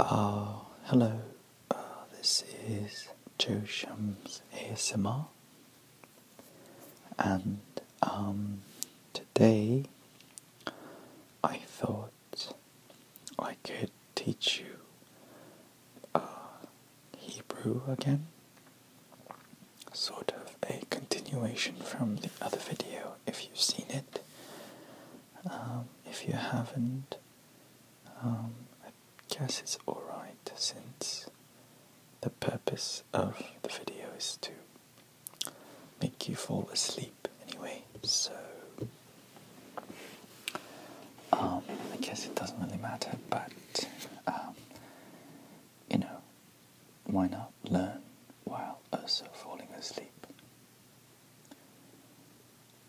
Ah, hello, ah, this is Joe Shams ASMR, and um, today I thought I could teach you uh, Hebrew again, sort of a continuation from the other video if you've seen it. Um, if you haven't, um, I guess it's alright since the purpose of the video is to make you fall asleep anyway, so um, I guess it doesn't really matter, but you know, why not learn while also falling asleep?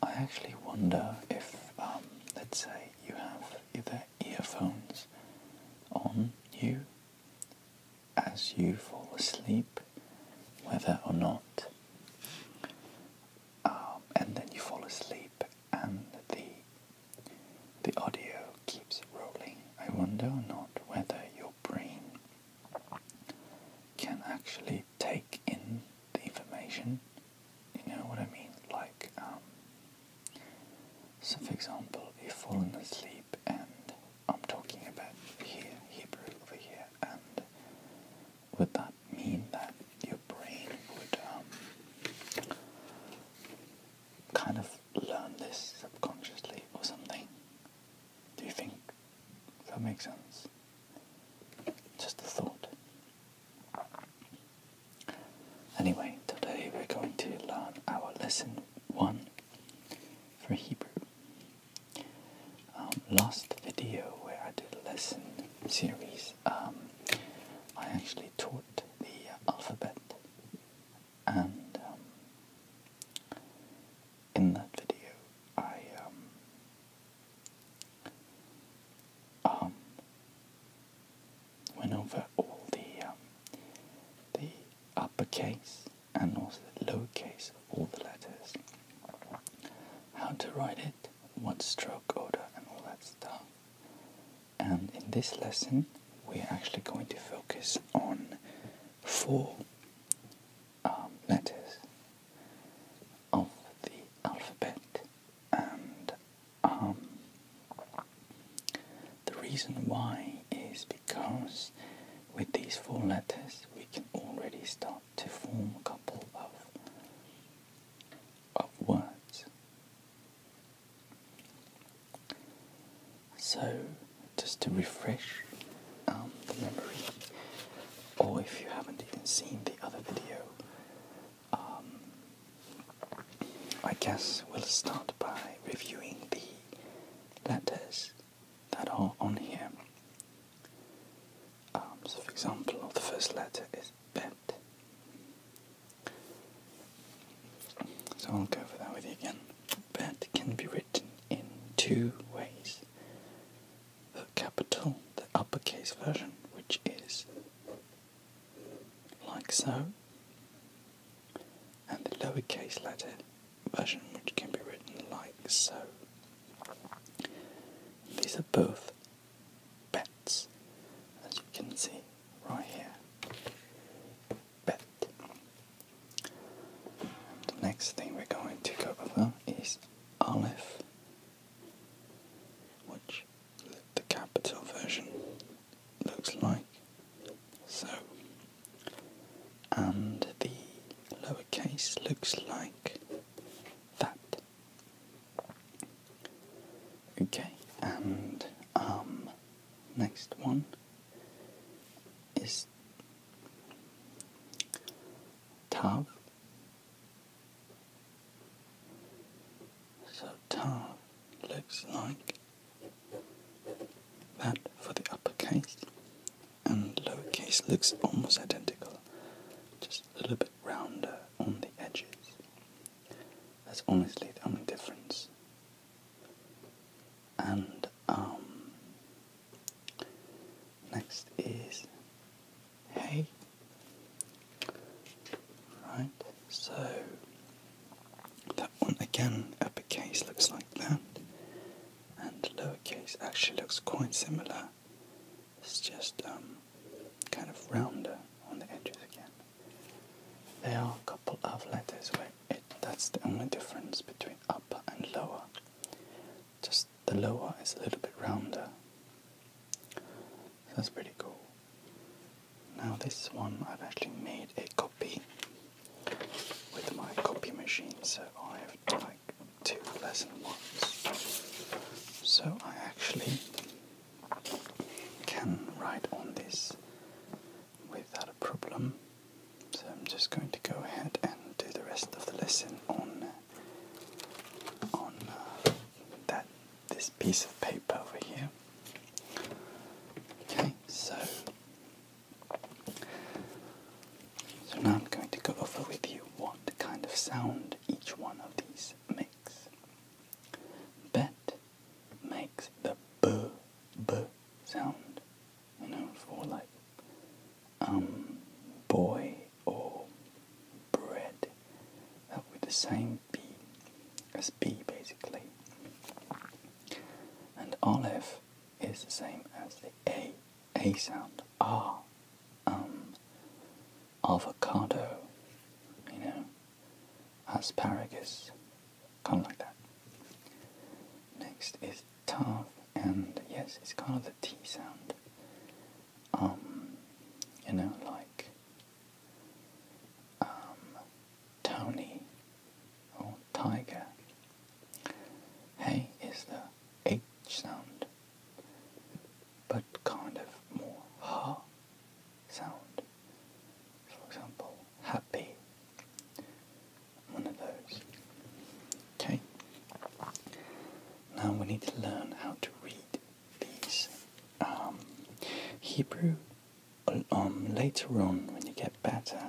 I actually wonder if, um, let's say, you have either earphones on you as you fall asleep, whether or not, um, and then you fall asleep and the the audio keeps rolling. I wonder or not whether your brain can actually take in the information. You know what I mean? Like, um, so for example, if fallen asleep, and I'm talking about here, Hebrew over here, and would that mean that your brain would um, kind of learn this subconsciously or something? Do you think if that makes sense. Just a thought. Anyway, today we're going to learn our lesson one for Hebrew. Um, last video where I did a lesson series, um, I actually taught the alphabet and um, in that video, I um, um, went over all the um, the uppercase and also the lowercase of all the letters, how to write it, what stroke order, and all that stuff. And in this lesson, we're actually going to focus on four um, letters of the alphabet, and um, the reason why is because with these four letters we can already start to form a couple of of words. So just to refresh um, the memory, or if you haven't even seen the other video, um, I guess we'll start by reviewing the letters that are on here. Um, so, for example, the first letter is bet. So I'll go over that with you again alphabet can be written in two ways the capital, the uppercase version, which is like so, and the lowercase letter version, which can be written like so. These are both bets, as you can see right here. Bet the next thing we're going to go over is "olive," which the capital version looks like so, and the lower case looks like that. Okay, and um, next one is Tough. So tough looks like that for the uppercase, and lowercase looks almost identical, just a little bit rounder on the edges. That's honestly the only difference and um, next is hey. Right, so that one again, uppercase looks like that, and lowercase actually looks quite similar. It's just um, kind of rounder on the edges again. There are a couple of letters where it, that's the only difference between upper and lower. Just the lower is a little bit rounder. So that's pretty cool. Now this one I've actually made a copy with my copy machine, so I have like two lesson ones. So I actually can write on this without a problem. So I'm just going to go ahead and do the rest of the lesson on on uh, that this piece of paper over here. Okay, so so now I'm going to go over with you what kind of sound each one of these makes. Bet makes the b b sound you know, for like um, boy or bread. Uh, that would the same B as B basically. And olive is the same as the A, A sound, R. Um, avocado, you know, asparagus, kind of like that. Next is tough and yes, it's kind of the T sound. Um, you know, like um, Tony or Tiger. Hey is the H sound, but kind of more ha sound. For example, happy one of those. Okay? Now we need to learn how to read these. Um, Hebrew, um, later on when you get better,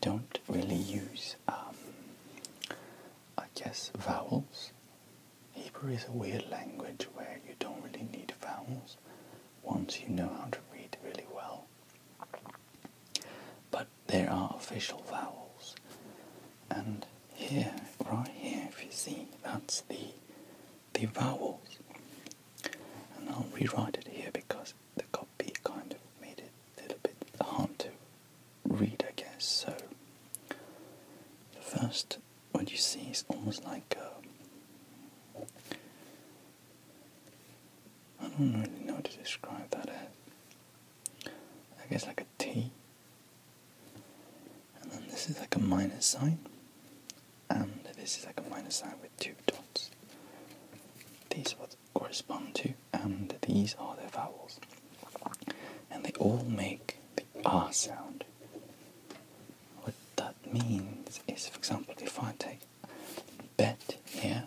don't really use, um, I guess, vowels. Hebrew is a weird language where you don't really need vowels once you know how to read really well. But there are official vowels. And here, right here, if you see, that's the the vowels. And I'll rewrite it here because the copy kind of made it a little bit hard to read, I guess. So the first, what you see is almost like a, I don't really know how to describe that as. Uh, I guess like a T. And then this is like a minus sign. And this is like a minus sign with two dots. These correspond to, and these are their vowels. And they all make the R sound. What that means is, for example, if I take bet here,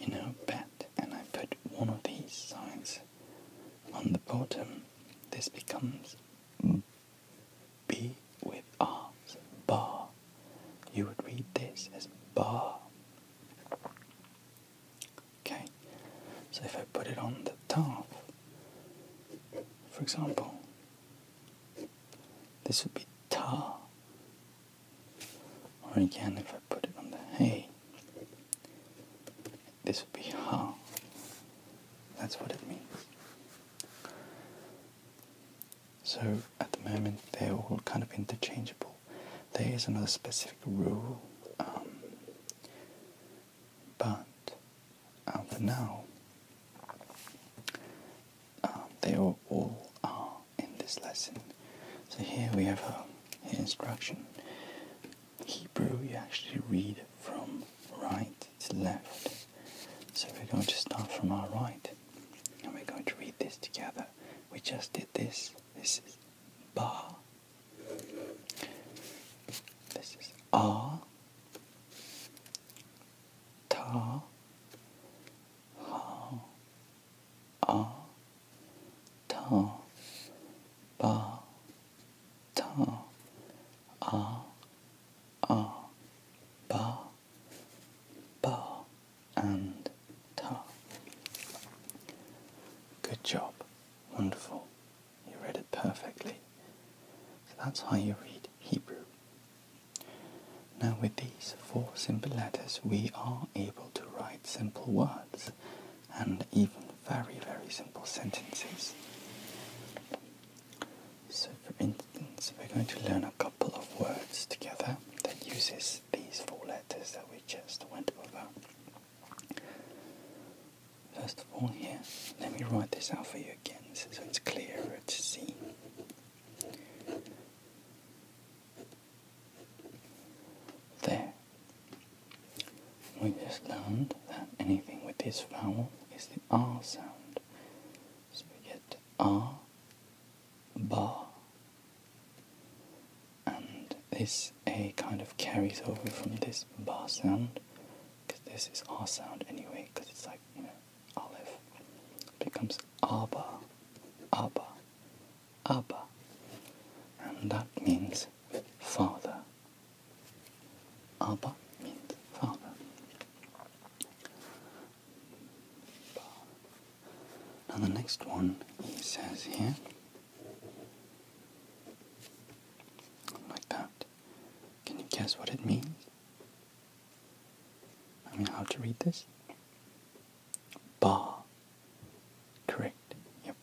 you know, bet, and I put one of these signs on the bottom, this becomes B with R, bar. You would read this as bar. Okay, so if I put it on the top, for example, this would be tar. Or again, if I put it on the hay, this would be how. That's what it means. So at the moment, they're all kind of interchangeable. There is another specific rule, um, but uh, for now, um, they all, are uh, in this lesson. So here we have um, a instruction. Hebrew, you actually read from right to left. So we're going to start from our right, and we're going to read this together. We just did this. This is bar. This is R. Ta how a ta ba ta a a ba ba and ta. Good job. Wonderful. You read it perfectly. So that's how you read Hebrew. Now with these four simple letters we are able to write simple words and even very very simple sentences. So for instance we're going to learn a couple of words together that uses these four letters that we just went over. First of all here, let me write this out for you again so it's clearer to see. There. We just learned that anything with this vowel is the R sound. So we get R, bar. And this A kind of carries over from this bar sound, because this is R sound anyway, because it's like, you know, olive becomes Abba, Abba, Abba, and that means father. Abba means father. Now the next one he says here, like that. Can you guess what it means? I mean, how to read this? Bar. Correct. Yep.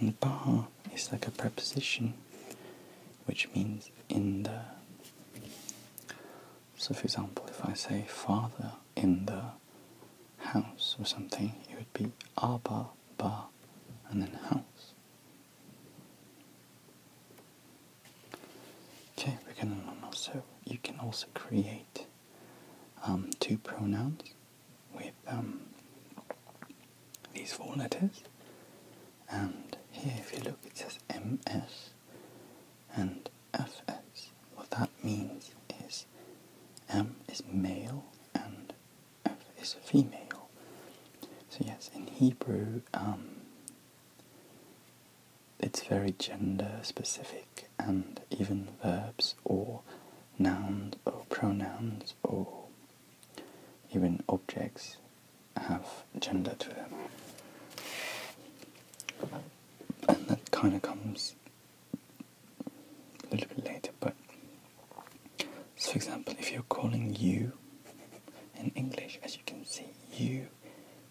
And bar is like a preposition, which means in the. So, for example, if I say father in the house or something, it would be aba, ba, and then house. Okay, we're also you can also create um, two pronouns with um, these four letters. And here, if you look, it says MS and FS. What that means is M is male and F is female. So yes, in Hebrew, um, it's very gender specific, and even verbs or nouns or pronouns or even objects have gender to them. And that kind of comes a little bit later, but so for example, if you're calling you in English, as you can see, you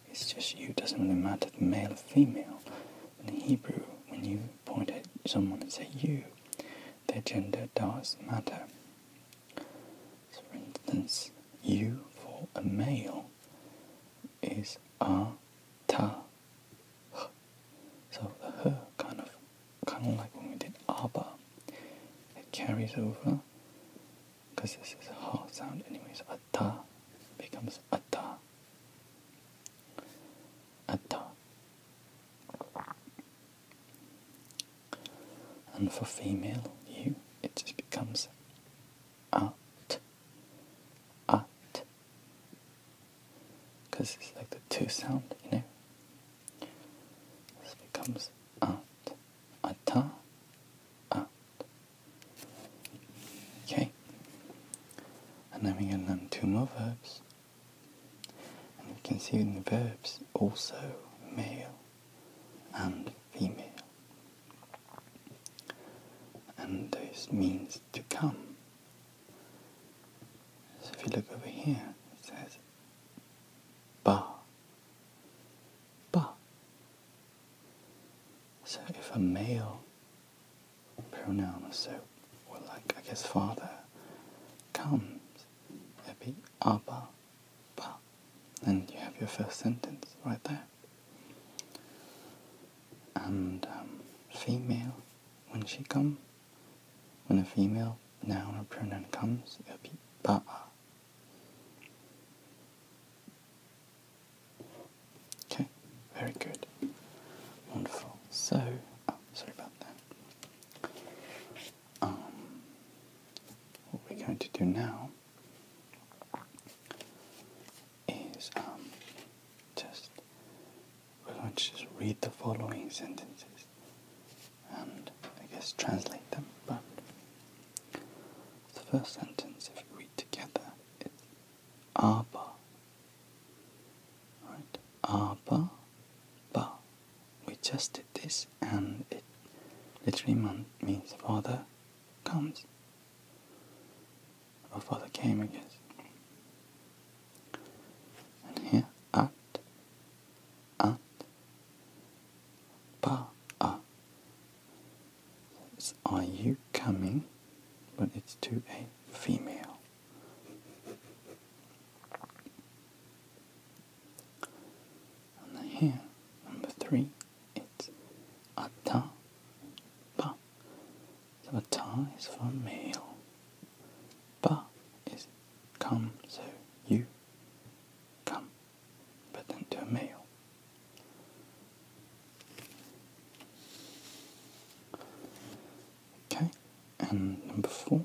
it's just you, doesn't really matter the male or female. In Hebrew, when you point at someone and say you, their gender does matter. for instance, you for a male is a ta. So the her kind of kind of like when we did abba. It carries over because this is a ha sound anyways. Atta becomes atta. Atta. And for female, you, it just becomes at. At. Because it's like the two sound, you know? This becomes at ata, at. Ah. Okay. And then we're going to learn two more verbs. And we can see in the verbs also male and female. And this means to come. So if you look over here, it says ba. Ba. So if a male pronoun, so or like I guess father comes, it'd be abba, ba, and you have your first sentence right there. And um, female, when she comes, when a female noun or pronoun comes, it'll be ba'a, Okay, very good. Wonderful. So, oh, sorry about that. Um, what we're going to do now is um, just we're going to just read the following sentences and I guess translate them, but the first sentence, if you read together, it's aber. Right? Aber, but. We just did this and it literally means father comes. Or father came, I guess. And here, at up, pa a. It's are you coming? But it's to a female. here, three, it's ata pa. So ata is for male. Pa is come, so you come but then to a male. Okay, and number four.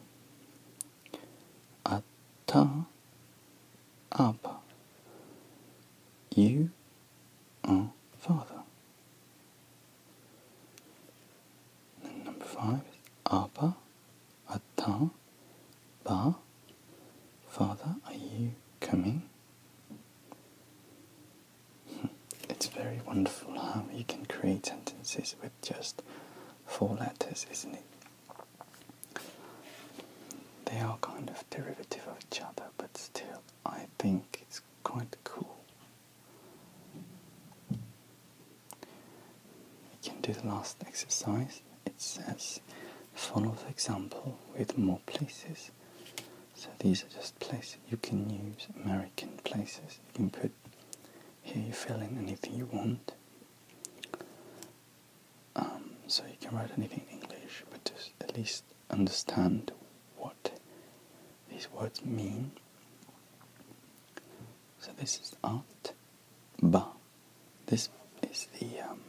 Ata Abba. You are father. And number five is Abba atteint ba. Father, are you coming? Hmm, it's very wonderful how you can create sentences with just four letters, isn't it? They are kind of derivative of each other, but still, I think it's quite cool. We can do the last exercise it says follow the example with more places. So these are just places you can use American places. You can put here you fill in anything you want. Um, so you can write anything in English, but just at least understand what these words mean. So this is art, ba. This is the um,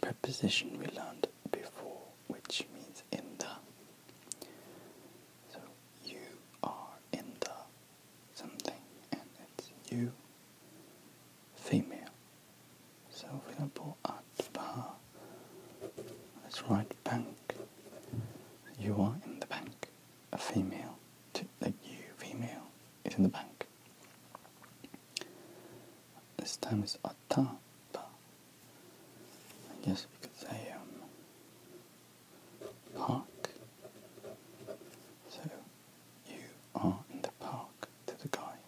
preposition we learned before, which means in the. So you are in the something, and it's you female. So, for example, at bar, let's bank. You are in the bank. A female, to, like you female, is in the bank. This time it's atapa. I guess because I am park. So you are in the park to the guy.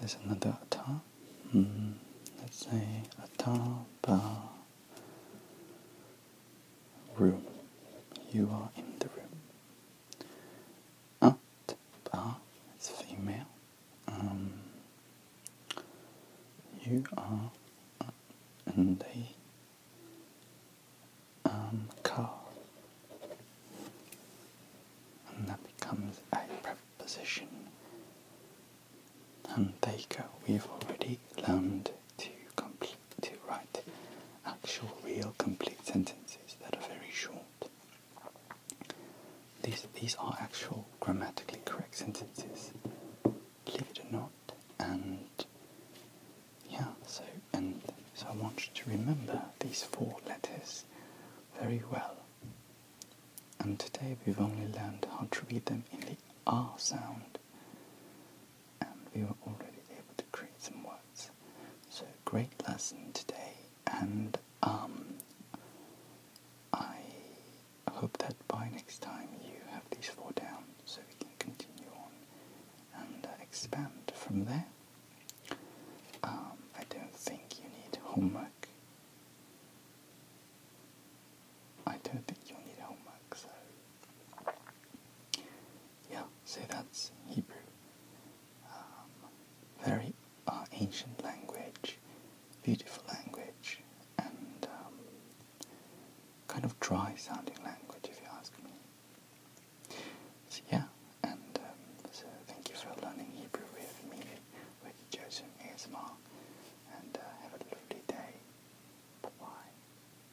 There's another atapa. Hmm, let's say atapa room. You are in the room. At It's is female. Um, you are in the um, car. And that becomes a preposition. And there you go. We've already learned to complete to write actual, real, complete sentences that are very short. These, these are actual, grammatically correct sentences, believe it or not. And yeah, so and so I want you to remember these four letters very well. And today we've only learned how to read them in the R sound and we were already able to create some words. So great lesson today, and um, I hope that by next time you have these four down, so we can continue on and uh, expand from there. Um, I don't think you need homework. I don't think you need homework, so yeah, say that's Hebrew. Um, very uh, ancient language, beautiful language, and um, kind of dry sounding language, if you ask me. So, yeah, and um, so thank you for learning Hebrew with me, with Joseph ASMR, and uh, have a lovely day. Bye bye.